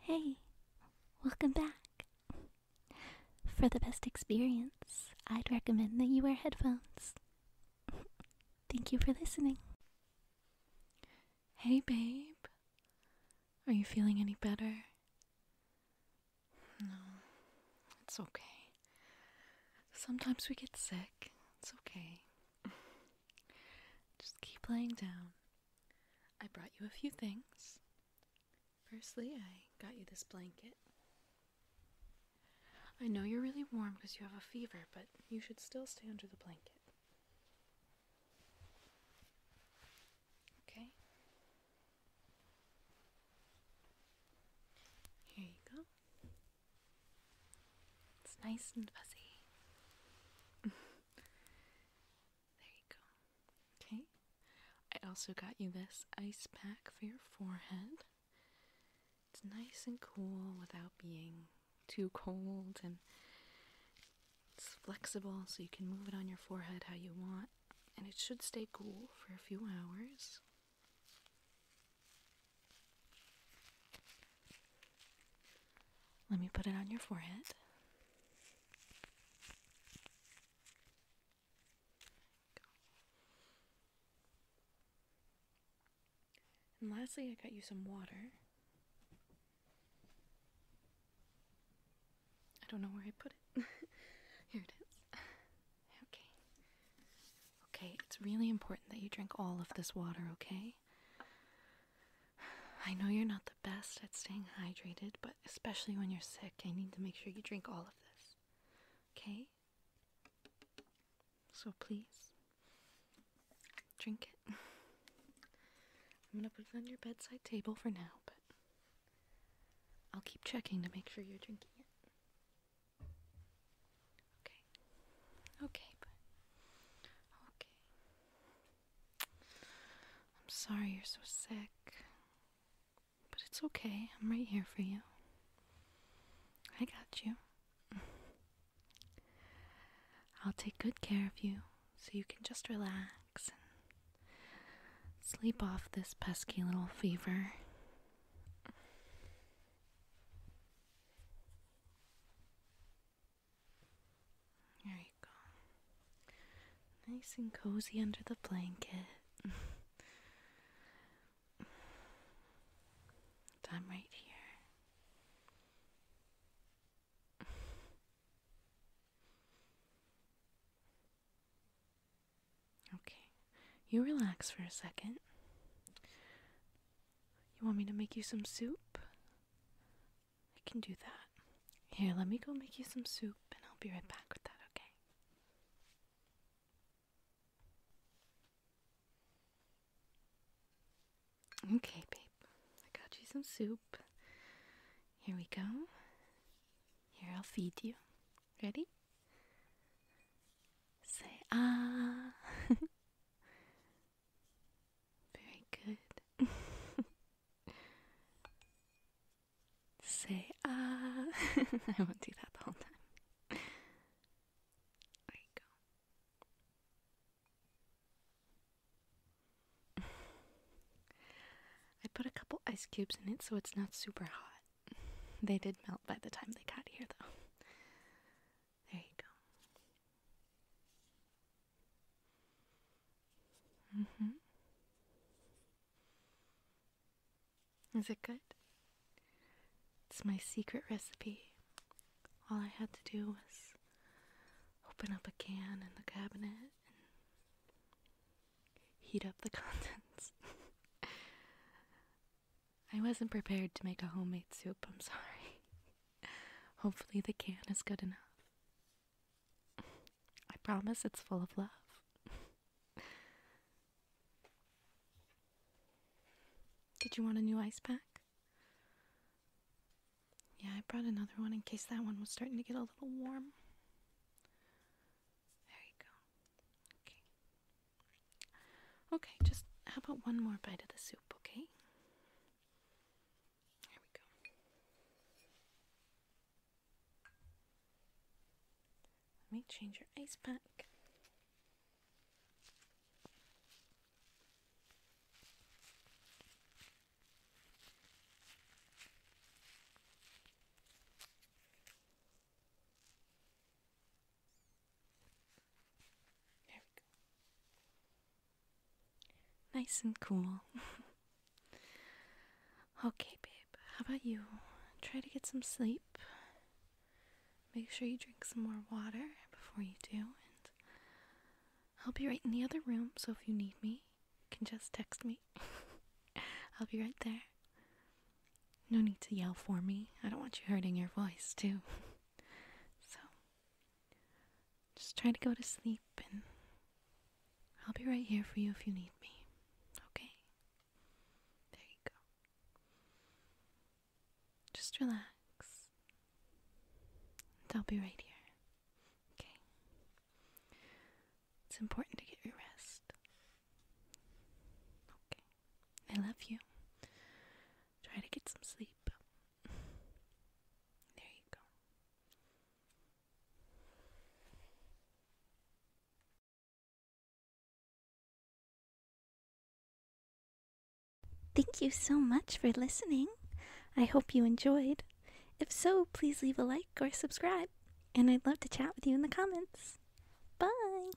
Hey, welcome back. For the best experience, I'd recommend that you wear headphones. Thank you for listening. Hey, babe. Are you feeling any better? No, it's okay. Sometimes we get sick. It's okay. Just keep laying down. I brought you a few things. Firstly, I got you this blanket. I know you're really warm because you have a fever, but you should still stay under the blanket. Okay? Here you go. It's nice and fuzzy. There you go. Okay. I also got you this ice pack for your forehead. It's nice and cool without being too cold and it's flexible so you can move it on your forehead how you want and it should stay cool for a few hours. Let me put it on your forehead. And lastly, I got you some water. I don't know where I put it. Here it is. Okay. Okay, it's really important that you drink all of this water, okay? I know you're not the best at staying hydrated, but especially when you're sick, I need to make sure you drink all of this. Okay? So please, drink it. I'm gonna put it on your bedside table for now, but I'll keep checking to make sure you're drinking it. Okay. Okay, Okay. I'm sorry you're so sick. But it's okay. I'm right here for you. I got you. I'll take good care of you so you can just relax and sleep off this pesky little fever. There you go. Nice and cozy under the blanket. i right here. okay, you relax for a second. You want me to make you some soup? I can do that. Here, let me go make you some soup and I'll be right back with that, okay? Okay, babe. I got you some soup. Here we go. Here, I'll feed you. Ready? Say ah. Very good. Say ah. I won't do that the whole time. There you go. I put a couple ice cubes in it so it's not super hot. They did melt by the time they got here, though. There you go. hmm. Is it good? It's my secret recipe. All I had to do was open up a can in the cabinet and heat up the contents. I wasn't prepared to make a homemade soup, I'm sorry. Hopefully, the can is good enough. I promise it's full of love. Did you want a new ice pack? Yeah, I brought another one in case that one was starting to get a little warm. There you go. Okay. Okay, just how about one more bite of the soup, okay? There we go. Let me change your ice pack. Nice and cool. okay, babe, how about you? Try to get some sleep. Make sure you drink some more water before you do, and I'll be right in the other room, so if you need me, you can just text me. I'll be right there. No need to yell for me. I don't want you hurting your voice, too. So, just try to go to sleep and I'll be right here for you if you need me. Okay? There you go. Just relax. I'll be right here. Okay? It's important to get your rest. Okay. I love you. Try to get some sleep. there you go. Thank you so much for listening. I hope you enjoyed. If so, please leave a like or subscribe, and I'd love to chat with you in the comments. Bye!